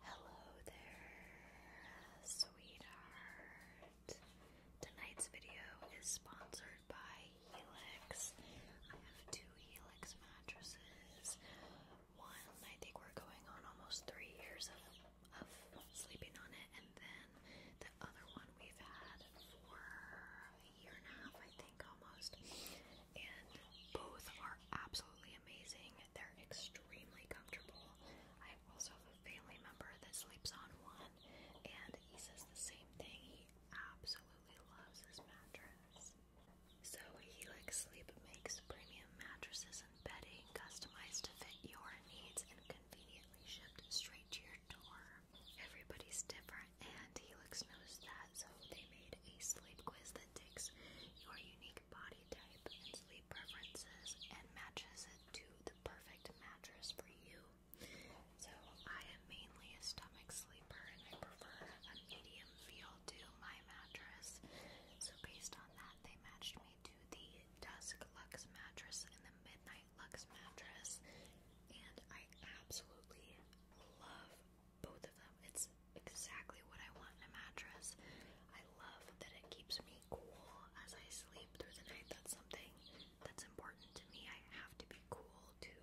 Hello there, sweetheart. Tonight's video is sponsored by Helix. I have two Helix mattresses. One, I think we're going on almost three years of, sleeping on it, and then the other one we've had for a year and a half, I think almost. And both are absolutely absolutely amazing. They're extremely comfortable. I also have a family member that sleeps on one, and he says the same thing. He absolutely loves his mattress. So Helix Sleep makes premium mattresses and bedding customized to fit your needs and conveniently shipped straight to your door. Everybody's different, and Helix knows that, so they made a sleep quiz that takes your unique body type and sleep preferences and matches it to the perfect mattress for you. So, I am mainly a stomach sleeper and I prefer a medium feel to my mattress. So, based on that, they matched me to the Dusk Lux mattress and the Midnight Lux mattress. And I absolutely love both of them. It's exactly what I want in a mattress. I love that it keeps me cool as I sleep through the night. That's something that's important to me. I have to be cool to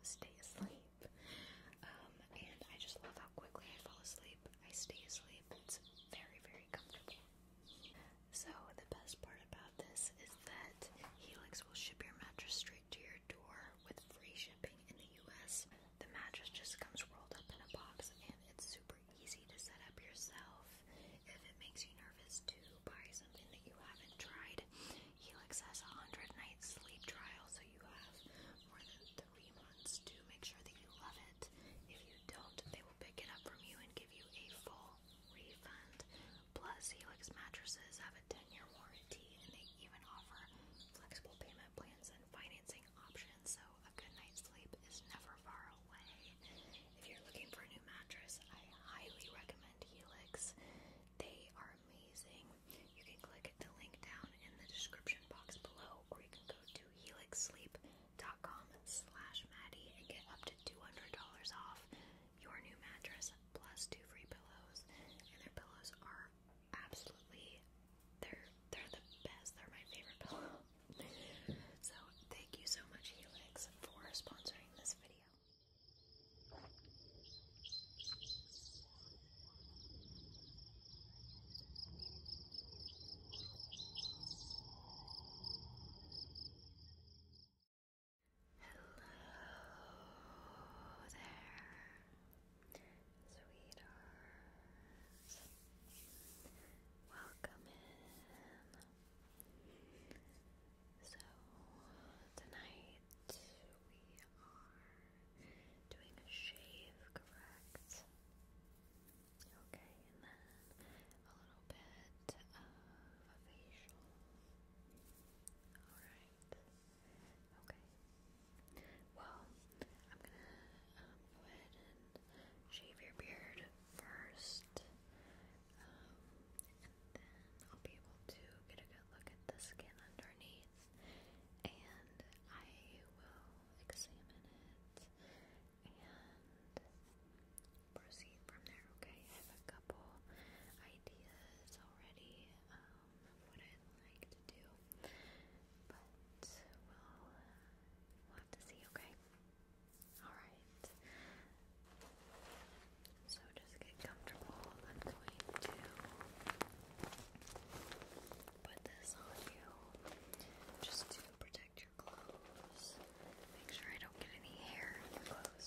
stay asleep. Um, and I just love how quickly I fall asleep. I stay asleep. It's very, very comfortable. So, the best part about this is that Helix will ship your mattress straight to your door with free shipping in the US. The mattress just comes rolled up in a box and it's super easy to set up yourself. If it makes you nervous to buy something that you haven't tried, Helix has a 100 night sleep trial, so you have more than three months to make sure that you love it. If you don't, they will pick it up from you and give you a full refund. Plus, Helix mattresses have a 10 year warranty and they even offer flexible payment plans financing options, so a good night's sleep is never far away. If you're looking for a new mattress, I highly recommend Helix. They are amazing. You can click the link down in the description box below, or you can go to helixsleep.com slash Maddie and get up to $200 off your new mattress plus two free pillows. And their pillows are absolutely they're they're the best. They're my favorite pillow. so thank you so much, Helix, for sponsoring this video. Hello there. Sweetheart, welcome in. So, tonight we are doing a shave, correct? Okay, and then a little bit of a facial. Alright. Okay. Well, I'm gonna um, go ahead and shave your beard first, um, and then I'll be able to get a good look at the skin underneath, and I will examine it and proceed from there. Okay, I have a couple ideas already. Um, of what I'd like to do. But we'll, have to see, okay? Alright. So just get comfortable. I'm going to put this on you just to protect your clothes. Make sure I don't get any hair in the clothes,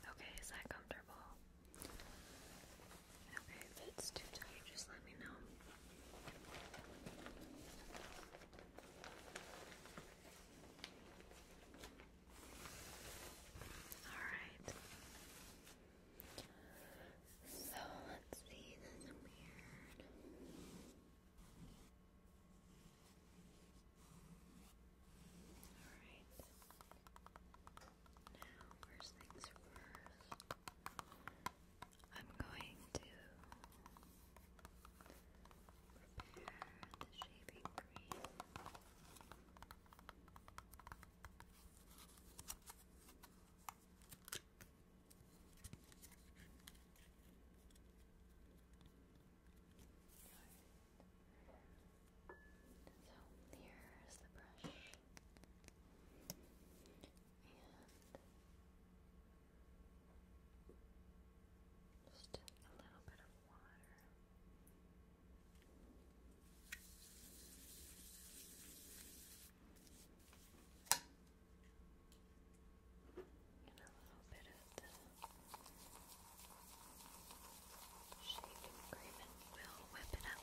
Okay, is that comfortable? Okay, if it's too tight, just let me know. All right. So let's see this weird. Alright. Now, first things first, I'm going to prepare the shaving cream. So here's the brush. And just a little bit of water. And a little bit of the shaving cream will whip it up.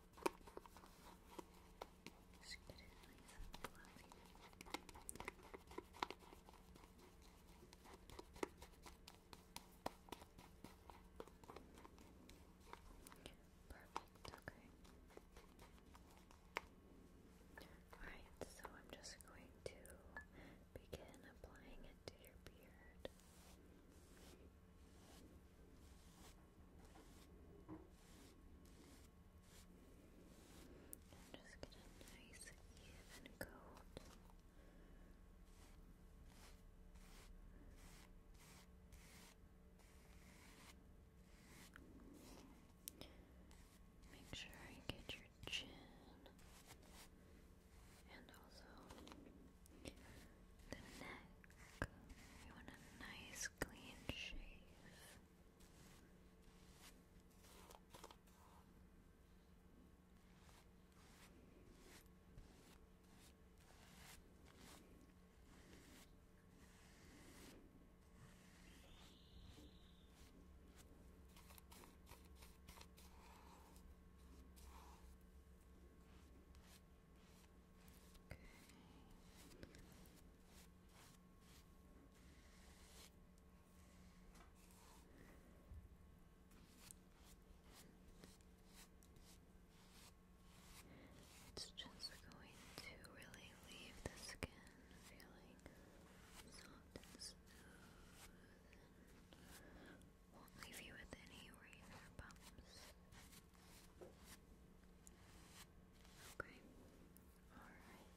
Just get Perfect, okay. Alright, so I'm just going to begin applying it to your beard just get a nice even coat. Make sure you get your chin and also the neck, we want a nice clean shave. It's just going to really leave the skin feeling soft and smooth won't leave you with any razor bumps. Okay, alright.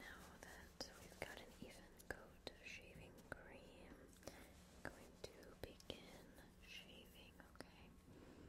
Now that we've got an even coat of shaving cream, I'm going to begin shaving, okay?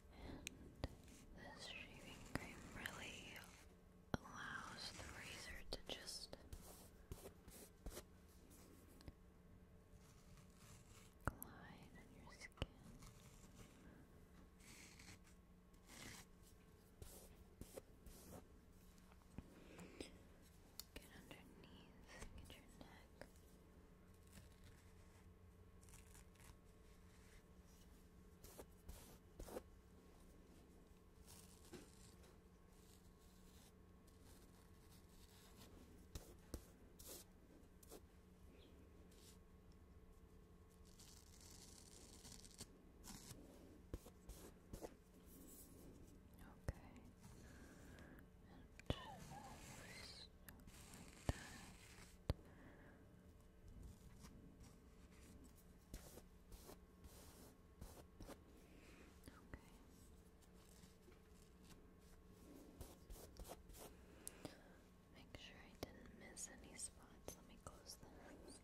this shaving cream really allows the razor to just glide on your skin. Get underneath, get your neck. Okay. And just like that. Make sure I didn't miss any spots. Let me close this.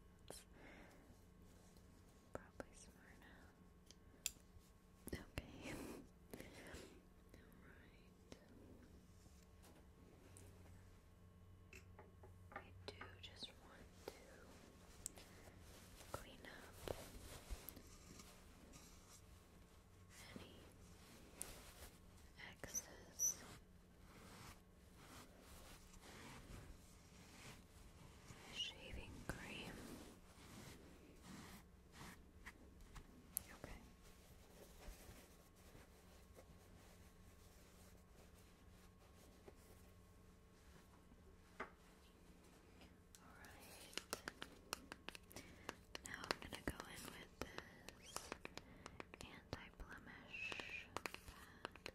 probably smart now. Okay. Alright. I do just want to clean up any excess. Shaving cream. Okay. Alright. Now I'm going to go in with this anti blemish pad.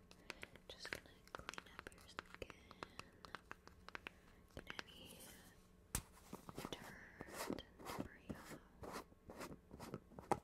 Just going to clean up your skin. any dirt and debris off. Now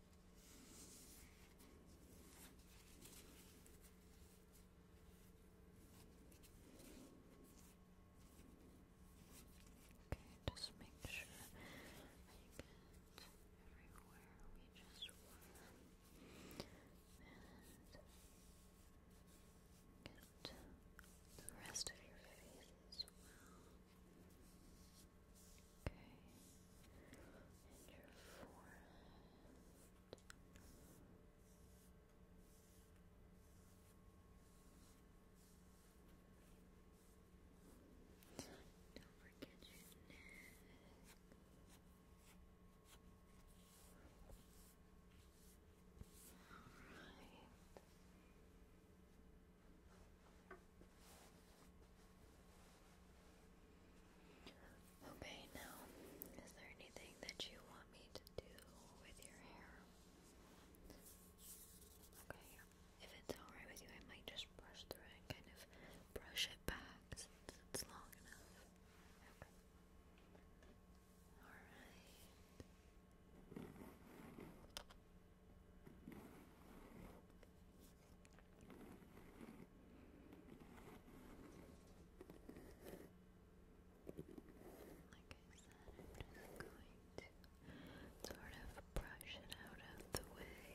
Okay, just make sure I get everywhere we just were and get the rest of your face as well. Okay. And your forehead. Don't forget your neck. Alright. Okay, now, is there anything that you want me to do with your hair? Okay, if it's alright with you, I might just brush through and kind of brush it back since it's long enough. Okay. Alright. Like I said, I'm just going to sort of brush it out of the way.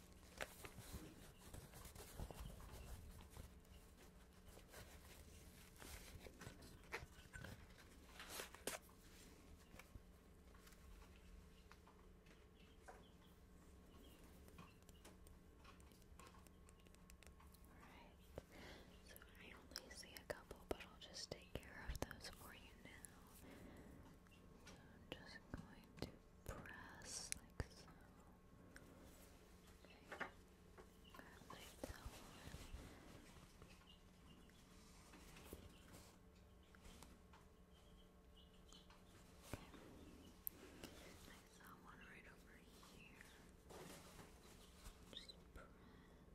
so I only see a couple, but I'll just take care of those for you now. I'm just going to press like so. Okay. Grab my towel. Okay. I saw one right over here. Just press. Okay.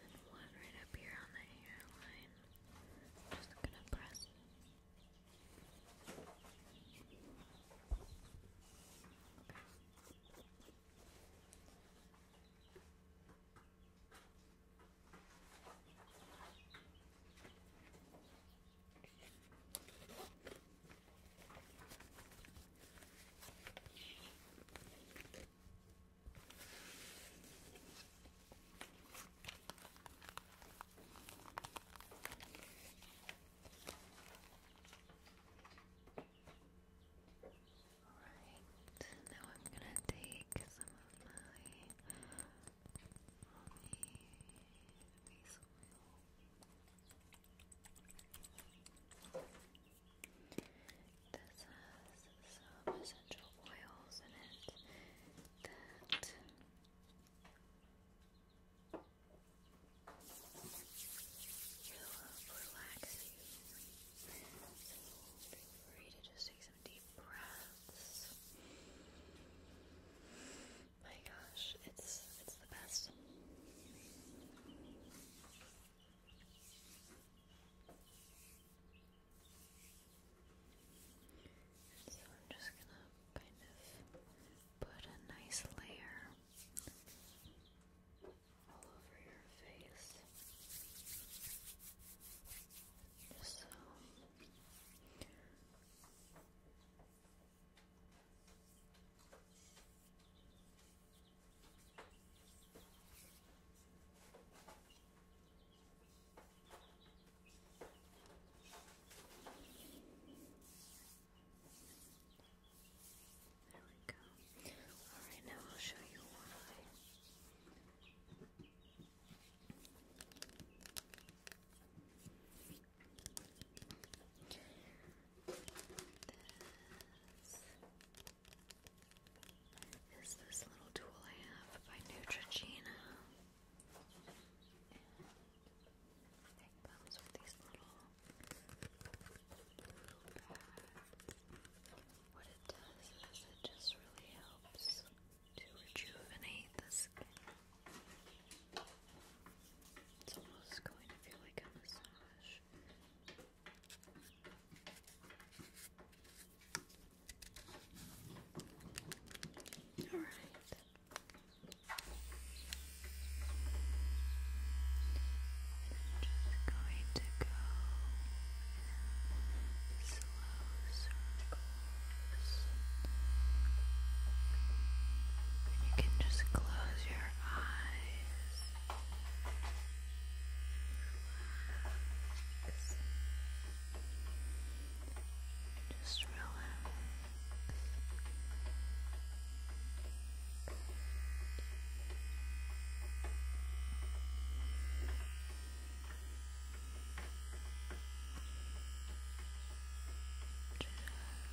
And one right up here on the hairline. I'm just gonna press. Okay. Alright, now I'm gonna take some of my oil. This has some essential oils in it that will relax you. feel free to just take some deep breaths. My gosh, it's it's the best. so I'm just gonna kind of put a nice layer all over your face. so there we go. Alright, now I'll show you why. This is this little tool I have by Neutrogena. it comes with these little, What it does is it just really helps to rejuvenate the skin. It's almost going to feel like a massage. All just going to go slow circles. And you can just close your eyes. Just relax.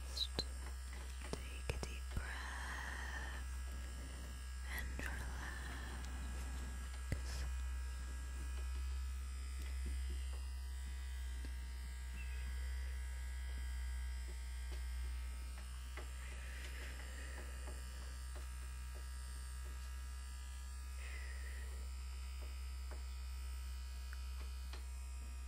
Just take a deep breath and relax.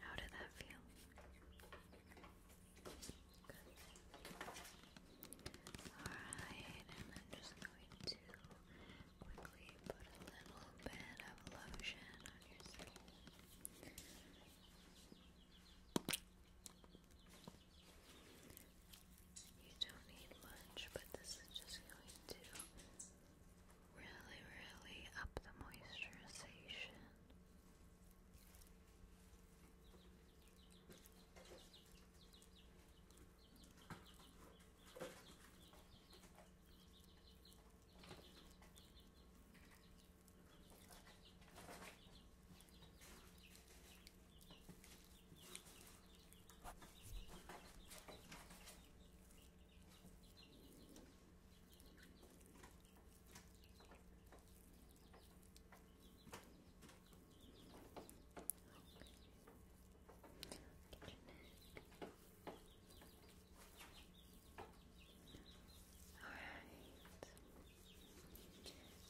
How did that feel? Alright, and I'm just going to quickly put a little bit of lotion on your skin. You don't need much, but this is just going to Really, really up the moisturization. Alright.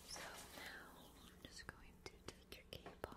So now I'm just going to take your cape off.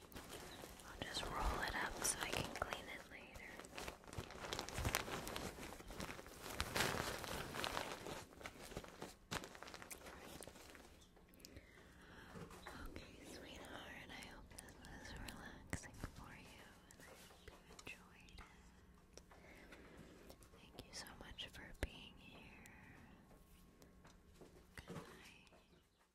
I'll just roll it up so I can clean it later. Okay, sweetheart, I hope this was relaxing for you and I hope you enjoyed it. Thank you so much for being here. Good night.